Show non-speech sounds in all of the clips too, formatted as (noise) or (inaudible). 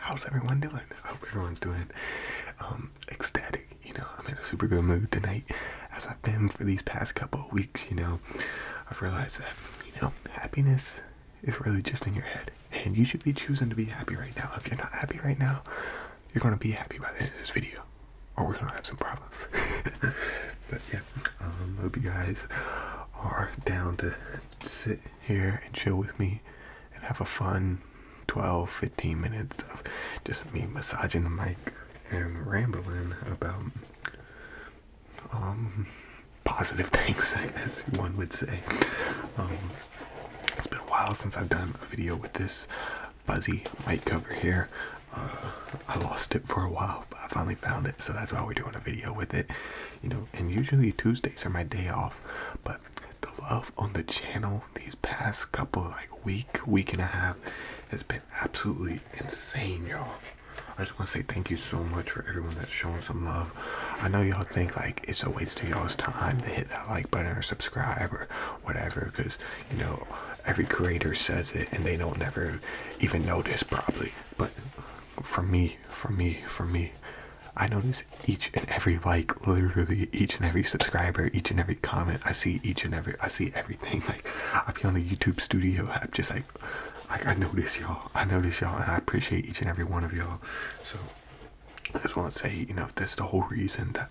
how's everyone doing? I hope everyone's doing um, ecstatic. You know, I'm in a super good mood tonight, as I've been for these past couple of weeks. You know, I've realized that you know happiness is really just in your head, and you should be choosing to be happy right now. If you're not happy right now, you're gonna be happy by the end of this video, or we're gonna have some problems. (laughs) but yeah, um, hope you guys are down to sit here and chill with me and have a fun 12 15 minutes of just me massaging the mic and rambling about um, positive (laughs) things i guess one would say um, it's been a while since i've done a video with this fuzzy mic cover here uh, i lost it for a while but i finally found it so that's why we're doing a video with it you know and usually tuesdays are my day off but the love on the channel these past couple like week week and a half has been absolutely insane y'all i just want to say thank you so much for everyone that's shown some love i know y'all think like it's a waste of y'all's time to hit that like button or subscribe or whatever because you know every creator says it and they don't never even notice probably but for me for me for me I notice each and every like, literally each and every subscriber, each and every comment. I see each and every, I see everything. (laughs) Like, I be on the YouTube studio. I'm just like, like I notice y'all. I notice y'all, and I appreciate each and every one of y'all. So, I just want to say, you know, that's the whole reason that.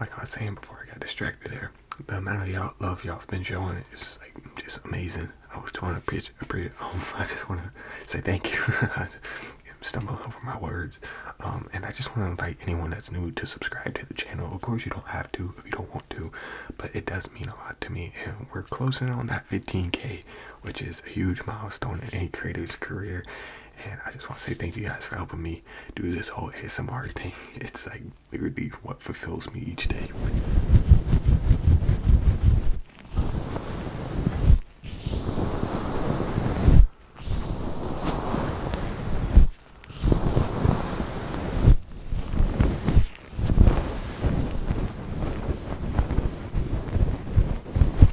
like I was saying before I got distracted there, the amount of y'all love y'all have been showing is like just amazing. I just want to preach, pre um, (laughs) oh, I just want to say thank you. (laughs) I'm stumbling over my words, um, and I just want to invite anyone that's new to subscribe to the channel. Of course, you don't have to if you don't want to, but it does mean a lot to me. And we're closing on that 15k, which is a huge milestone in any creator's career. And I just want to say thank you guys for helping me do this whole ASMR thing. (laughs) It's like literally what fulfills me each day.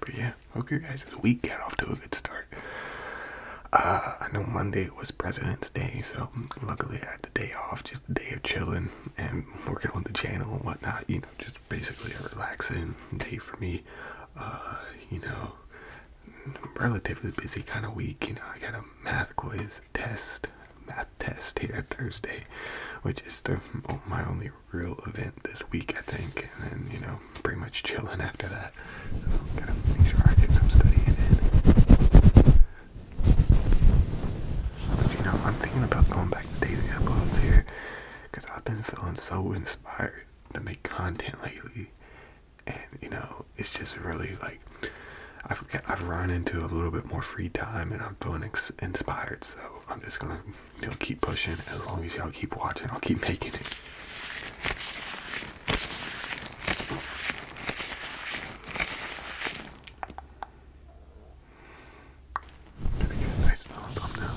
But yeah, hope your guys' week got off to a good start. Uh, I know Monday was President's Day, so luckily I had the day off, just a day of chilling, and working on the channel and whatnot. You know, just basically a relaxing day for me. Uh, you know, relatively busy kind of week. You know, I got a math quiz test, math test here Thursday, which is my only real event this week, I think. And then, you know, pretty much chilling after that. So, gotta make sure I get some studying in. But you know, I'm thinking about going back to daily uploads here because I've been feeling so inspired to make content lately. And you know, it's just really like I've I've run into a little bit more free time, and I'm feeling inspired. So I'm just gonna you know keep pushing. As long as y'all keep watching, I'll keep making it. Let me get a nice little thumbnail.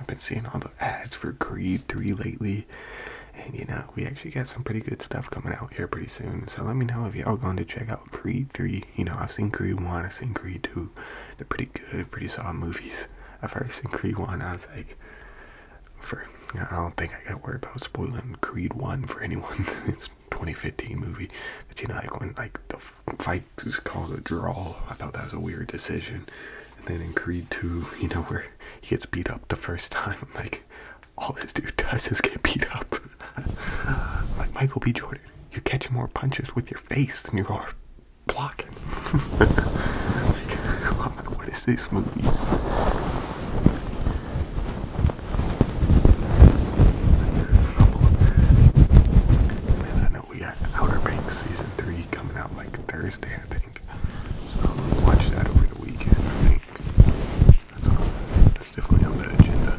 I've been seeing all the ads for Creed 3 lately. And you know, we actually got some pretty good stuff coming out here pretty soon. So let me know if y'all gone to check out Creed 3. You know, I've seen Creed 1, I've seen Creed 2. They're pretty good, pretty solid movies. At first in Creed 1, I was like, for I don't think I gotta worry about spoiling Creed 1 for anyone. (laughs) it's 2015 movie. But you know, like when like the fight is called a draw, I thought that was a weird decision. And then in Creed 2, you know, where he gets beat up the first time. I'm (laughs) like, all this dude does is get beat up. (laughs) like Michael B. Jordan, you're catching more punches with your face than you are blocking. (laughs) like, what is this movie? we got Outer Banks season three coming out like Thursday, I think. So I'm watch that over the weekend. I think that's, that's definitely on the agenda.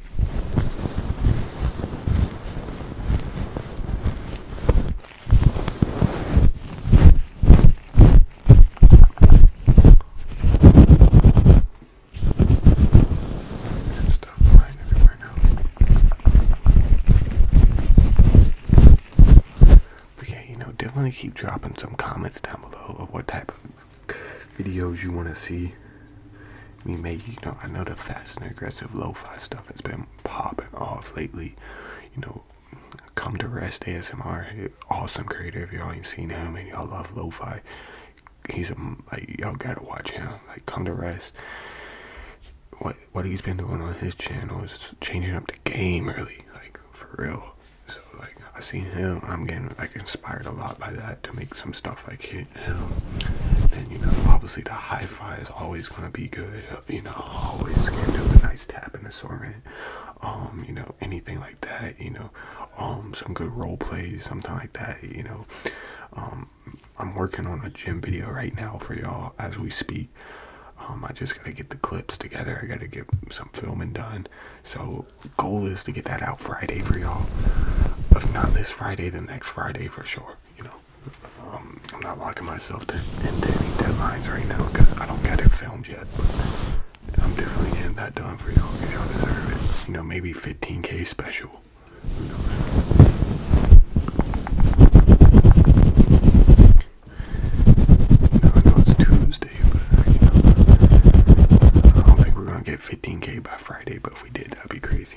And flying everywhere now. But yeah, you know, definitely keep dropping some comments down below of what type of videos you want to see me make. You know, I know the fast and aggressive lo-fi stuff has been popping off lately. You know, come to rest ASMR, awesome creator. If y'all ain't seen him and y'all love lo-fi, he's a, like y'all gotta watch him. Like come to rest. What what he's been doing on his channel is changing up the game really, like for real. So like I've seen him. I'm getting like inspired a lot by that to make some stuff like him. And you know, obviously the high fi is always gonna be good. You know, always can do a nice tapping assortment. Um, you know, anything like that. You know, um, some good role plays, something like that. You know, um, I'm working on a gym video right now for y'all as we speak. Um, I just gotta get the clips together. I gotta get some filming done. So goal is to get that out Friday for y'all. If not this Friday, then next Friday for sure. You know, um, I'm not locking myself to, any deadlines right now because I don't get it filmed yet. But I'm definitely getting that done for y'all y'all deserve it. You know, maybe 15k special. You I know it's Tuesday, but you know, I don't think we're gonna get 15k by Friday, but if we did, that'd be crazy.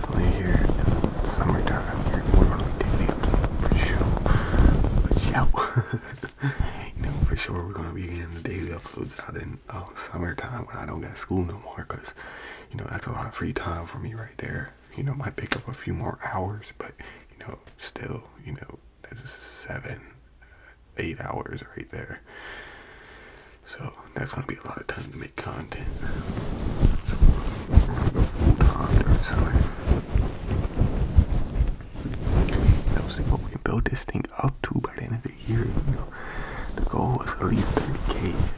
definitely here in uh, the We're gonna be digging up for sure. (laughs) you know for sure we're gonna be getting the daily uploads out in uh, summer time when I don't get school no more, cause you know that's a lot of free time for me right there. You know, might pick up a few more hours, but you know, still, you know, that's seven, eight hours right there. So that's gonna be a lot of time to make content. So you know, see what we can build this thing up to by the end of the year. You know, the goal was at least 30k.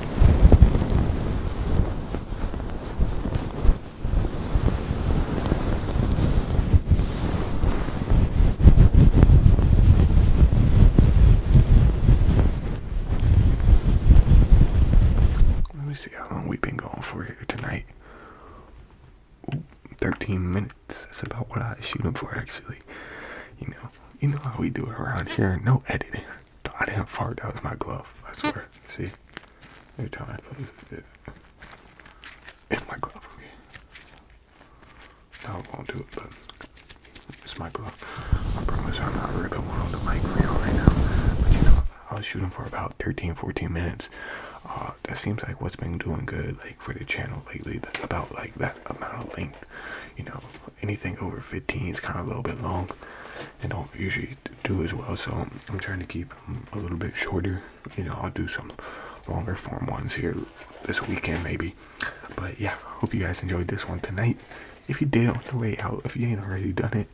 Let me see how long we've been going for here tonight. 13 minutes. That's about what I shoot them for, actually. You know, you know how we do it around here. No editing. I didn't fart. That was my glove. I swear. See, every time I play, it's my glove. Okay. No, I won't do it, but it's my glove. I promise I'm not ripping one on the mic for y'all right now. But you know, I was shooting for about 13, 14 minutes. Uh, that seems like what's been doing good, like for the channel lately. That about like that amount of length, you know anything over 15 is kind of a little bit long and don't usually do as well so i'm trying to keep them a little bit shorter you know i'll do some longer form ones here this weekend maybe but yeah hope you guys enjoyed this one tonight if you did on the way out if you ain't already done it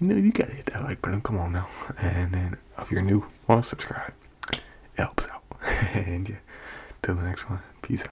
you know you gotta hit that like button come on now and then if you're new want to subscribe it helps out (laughs) and yeah till the next one peace out